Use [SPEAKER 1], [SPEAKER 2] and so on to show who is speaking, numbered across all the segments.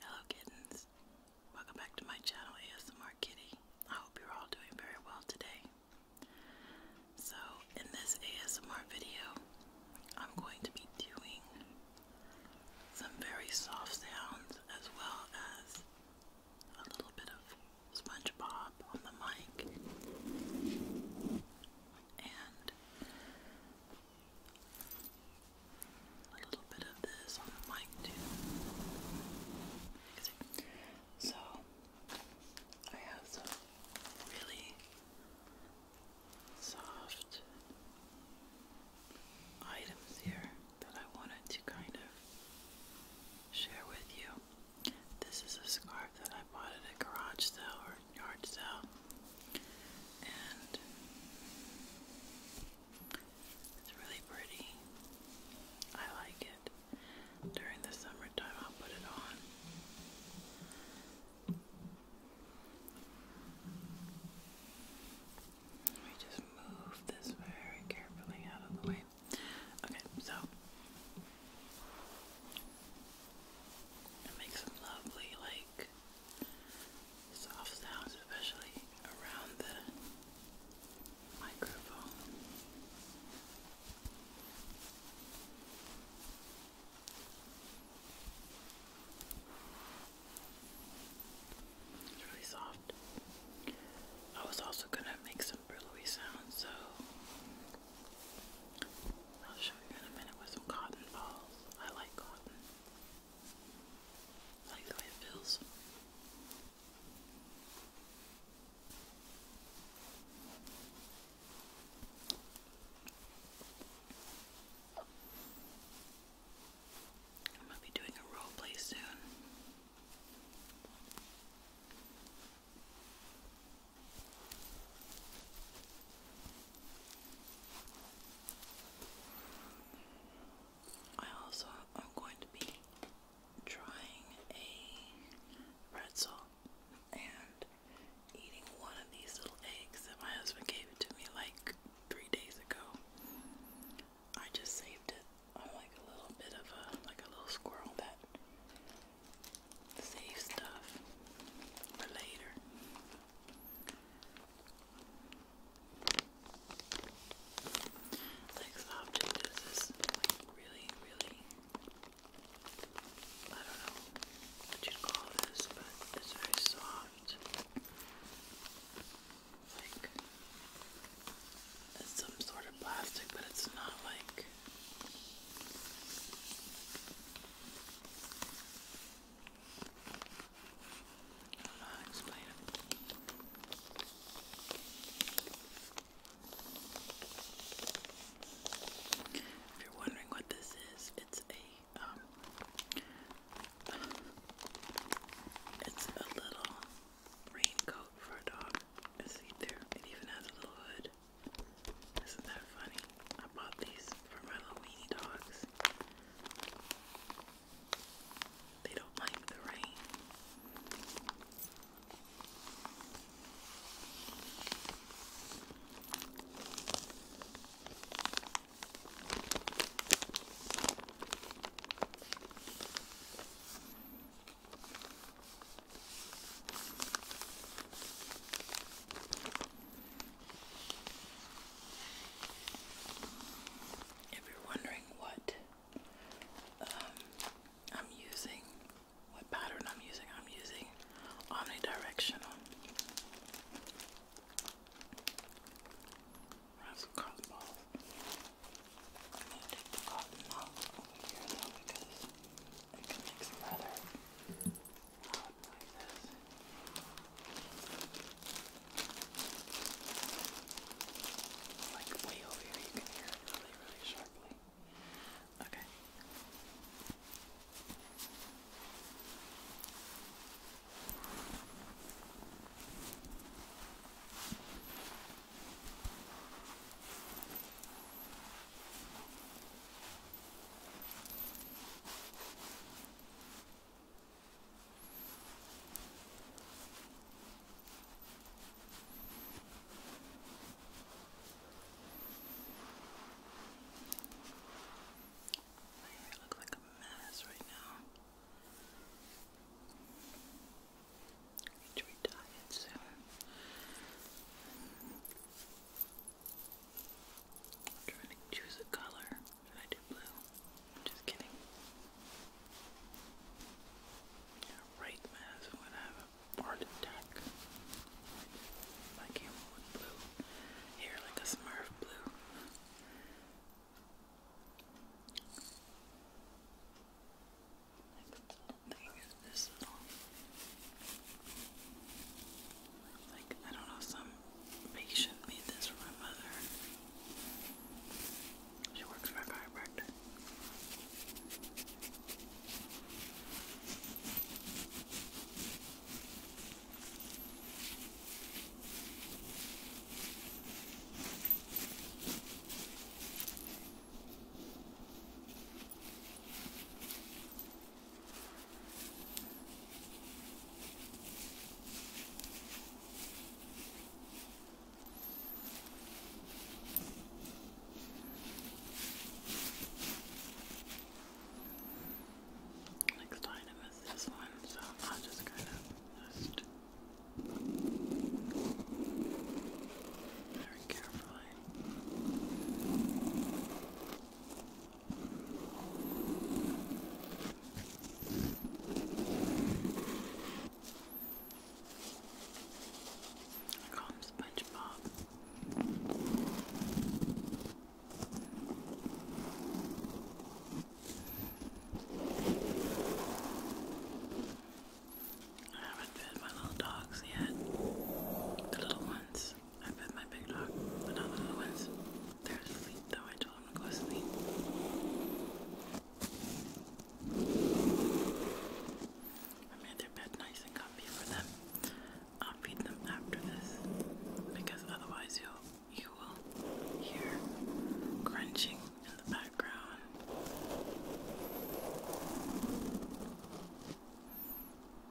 [SPEAKER 1] Hello kittens. Welcome back to my channel ASMR Kitty. I hope you're all doing very well today. So in this ASMR video, I'm going to be doing some very soft sounds as well as a little bit of SpongeBob on the mic. And a little bit of this on the mic too. So I have some really soft items here that I wanted to kind of share with you. This is a scarf that I bought at a garage sale or yard sale it's really pretty. I like it. During the summertime, I'll put it on. Let me just move this very carefully out of the way. Okay, so make some lovely, like, like soft sounds, especially around the microphone. It's really soft. I was also gonna make some burloey sounds, so I'll show you in a minute with some cotton balls. I like cotton. I like the way it feels. I might be doing a role soon. I also am going to be trying a pretzel and eating one of these little eggs that my husband gave it to me like three days ago. I just saved it I'm like a little bit of a like a little squirrel that saves stuff for later. Next object is this really, really I don't know what you'd call this, but it's very soft. Like it's some sort of plastic, but it's not like I If you're wondering what this is, it's a um, it's a little raincoat for a dog. See there, it even has a little hood. Isn't that funny? I bought these for my little weenie dogs. They don't like the rain. If you're wondering what um, I'm using, what pattern I'm using, I'm using omnidirectional. I have some cotton balls. i take the cotton off over here because it can make some leather out like this. Like way over here, you can hear it really, really sharply. Okay. Okay. My hair looks like a mess right now. I need to retire it soon. I'm trying to choose a color. Should I do blue? Just kidding. right mask. I'm My camera with blue hair, like a Smurf blue. Next thing is this like, I don't know, some patient made this for my mother. She works for a chiropractor. Next item is this one, so I'll just kind of just very carefully I call him SpongeBob. I haven't fed my little dogs yet, the little ones. I fed my big dog, but not the little ones. They're asleep, though. I told them to go sleep. I made their bed nice and comfy for them. I'll feed them after this, because otherwise you'll you will hear crunching in the background.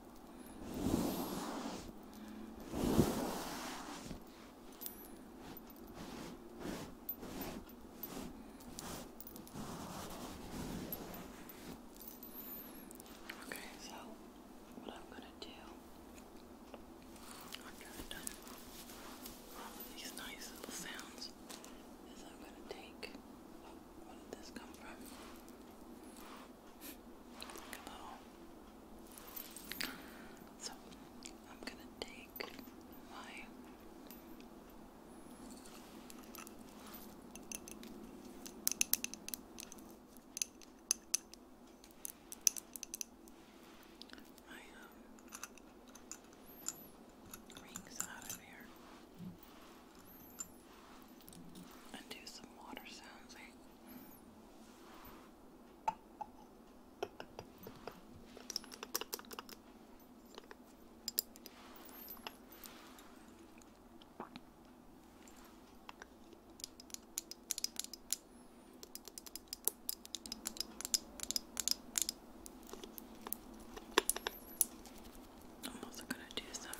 [SPEAKER 1] Okay, so what I'm going to do, after I've done all of these nice little sounds, is I'm going to take, where did this come from? Hello. So, I'm gonna take my um, rings out of here and do some water sounds. I'm also going to do some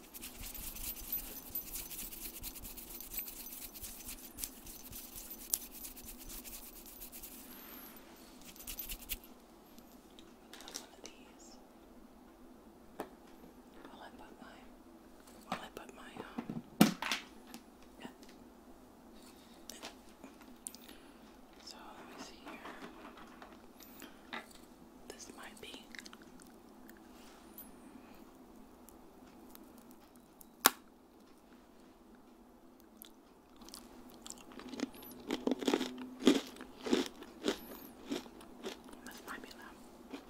[SPEAKER 1] Have one of these. While I put my, while I put my, um, yeah. So let me see here this might be. This might be loud.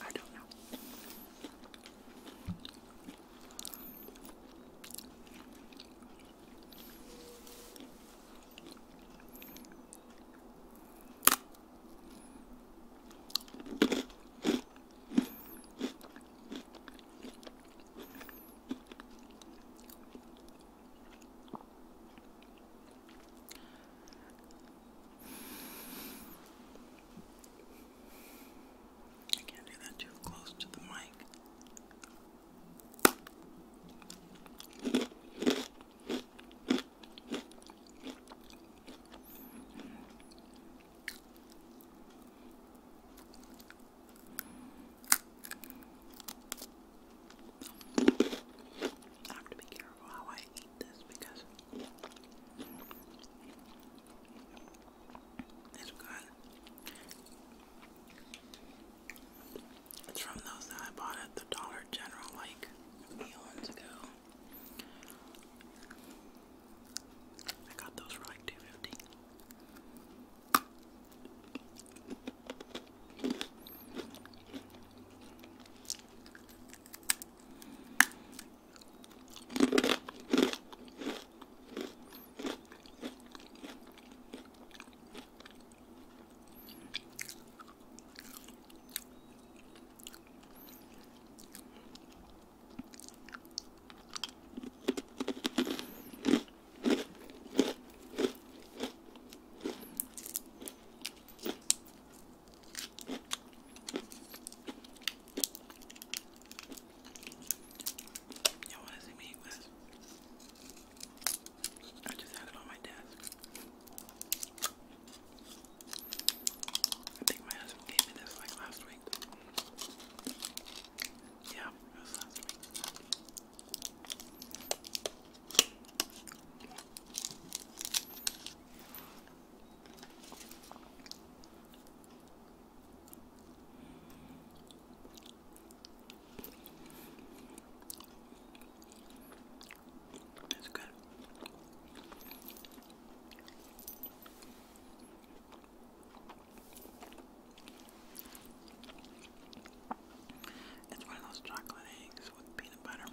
[SPEAKER 1] I don't know. I can't do that too close to the mic. I have to be careful how I eat this because it's good. It's from those that I bought at the Dollar General like eons ago. I got those for like two fifty. Y'all want to see me eat this? I just had it on my desk. I think my husband gave me this like last week. Yeah, it was last week. It's good. It's one of those chocolate eggs with peanut butter.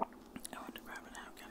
[SPEAKER 1] I want to grab a napkin.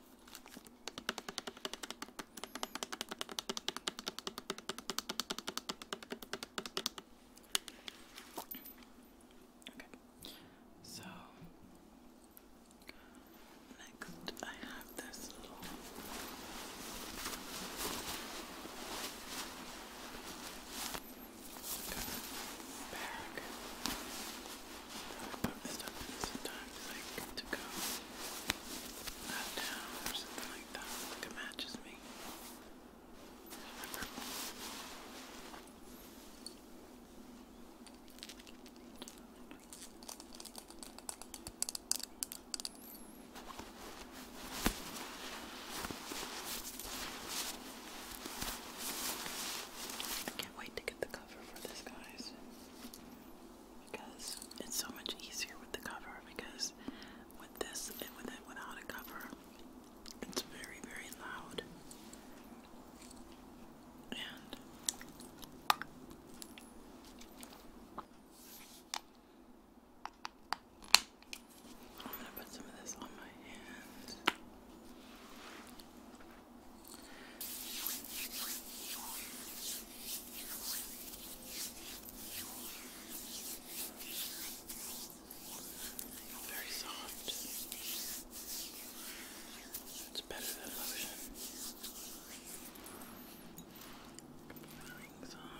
[SPEAKER 1] Okay, so next I have this little bag. But this sometimes like to go out or something like that. Like matches me. I can't wait to get the cover for this, guys because it's so much easier with the cover because with this and with it without a cover it's very very loud and I'm gonna put some of this on my hands very soft. It's better than lotion. Rings on.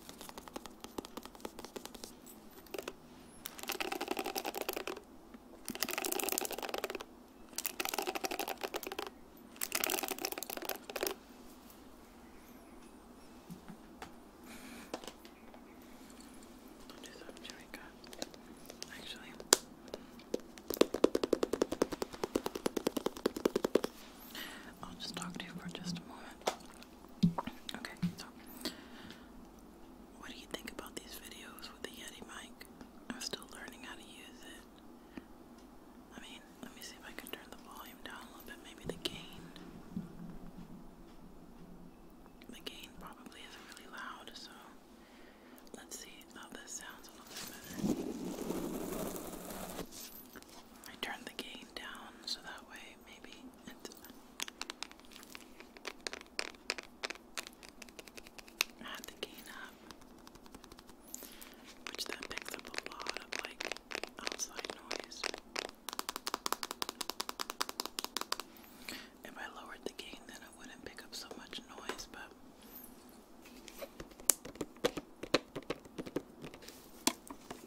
[SPEAKER 1] I'll do some Jamaica. Actually, I'll just talk to you for just a moment. Okay, so what do you think about these videos with the Yeti mic? I'm still learning how to use it. I mean, let me see if I can turn the volume down a little bit, maybe the gain. The gain probably isn't really loud, so let's see how this sounds a little bit better. I turned the gain down so that way way, maybe. Uh, add the gain up, which then picks up a lot of like outside noise. If I lowered the gain, then it wouldn't pick up so much noise, but.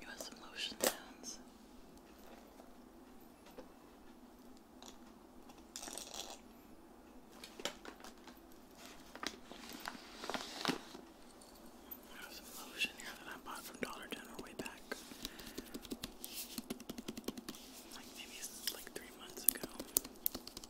[SPEAKER 1] You want some lotion sounds? I have some lotion here that I bought from Dollar General way back. Like maybe like three months ago.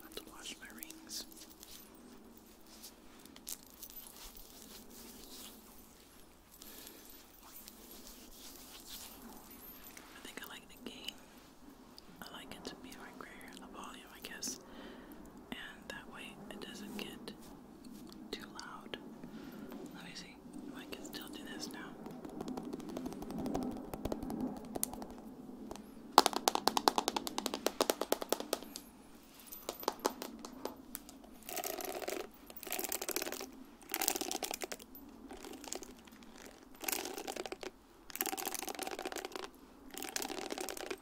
[SPEAKER 1] I have to wash my rings. I think I like the game. I like it to be a grayer where the volume I guess, and that way it doesn't get too loud. Let me see I can still do this now.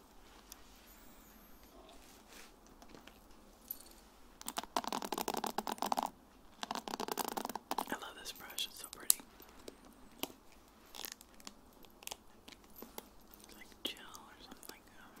[SPEAKER 1] I love this brush, it's so pretty. like gel or something like um,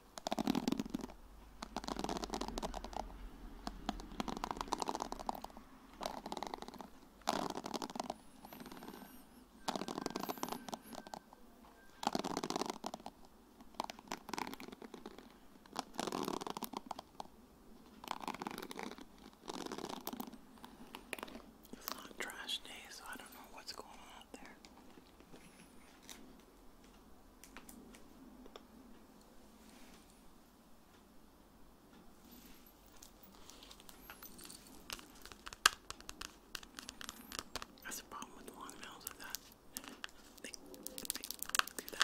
[SPEAKER 1] It's not trash day, so I don't know what's going on out there. That's the problem with long nails is that they, that.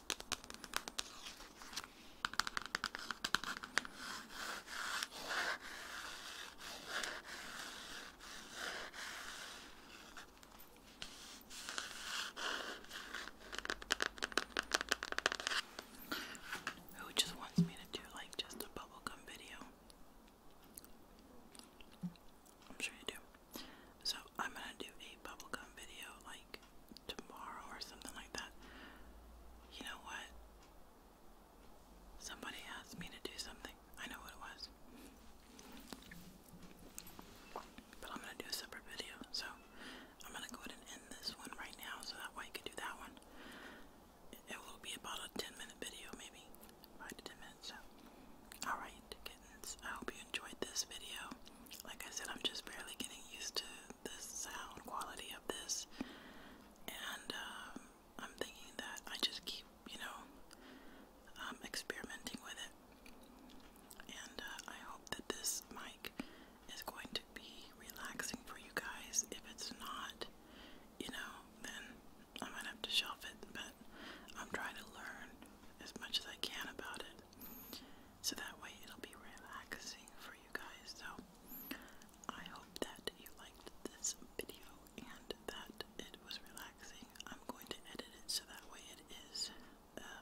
[SPEAKER 1] Who just wants me to do like just a bubblegum video? I'm sure you do. So I'm gonna do a bubblegum video like tomorrow or something like that. You know what? Somebody asked me to do something. I know what it was. But I'm gonna do a separate video, so I'm gonna go ahead and end this one right now so that way I can do that one. It will be about a 10 minute video, maybe. Five to 10 minutes. Alright, kittens. I hope you enjoyed this video. Like I said, I'm just barely getting used to the sound quality of this, and um, I'm thinking that I just keep, you know, um, experimenting with it. And uh, I hope that this mic is going to be relaxing for you guys. If it's not, you know, then I might have to shelf it, but I'm trying to learn as much as I can about it so that way it'll be relaxing for you guys. So I hope that you liked this video and that it was relaxing. I'm going to edit it so that way it is uh,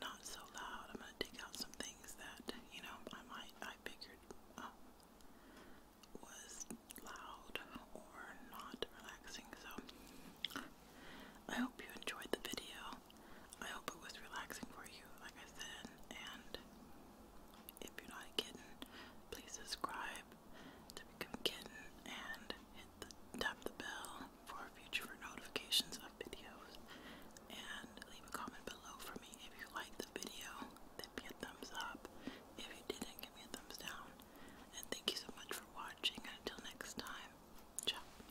[SPEAKER 1] not so loud. I'm going to take out some things that you know I might I figured uh, was loud or not relaxing. So I hope you enjoyed the video. I hope it was relaxing for you, like I said. And if you're not a kitten, please subscribe to become a kitten and hit tap the bell for future notifications of videos. And leave a comment below for me if you liked the video. Then be a thumbs up. If you didn't, give me a thumbs down. And thank you so much for watching. until next time, ciao.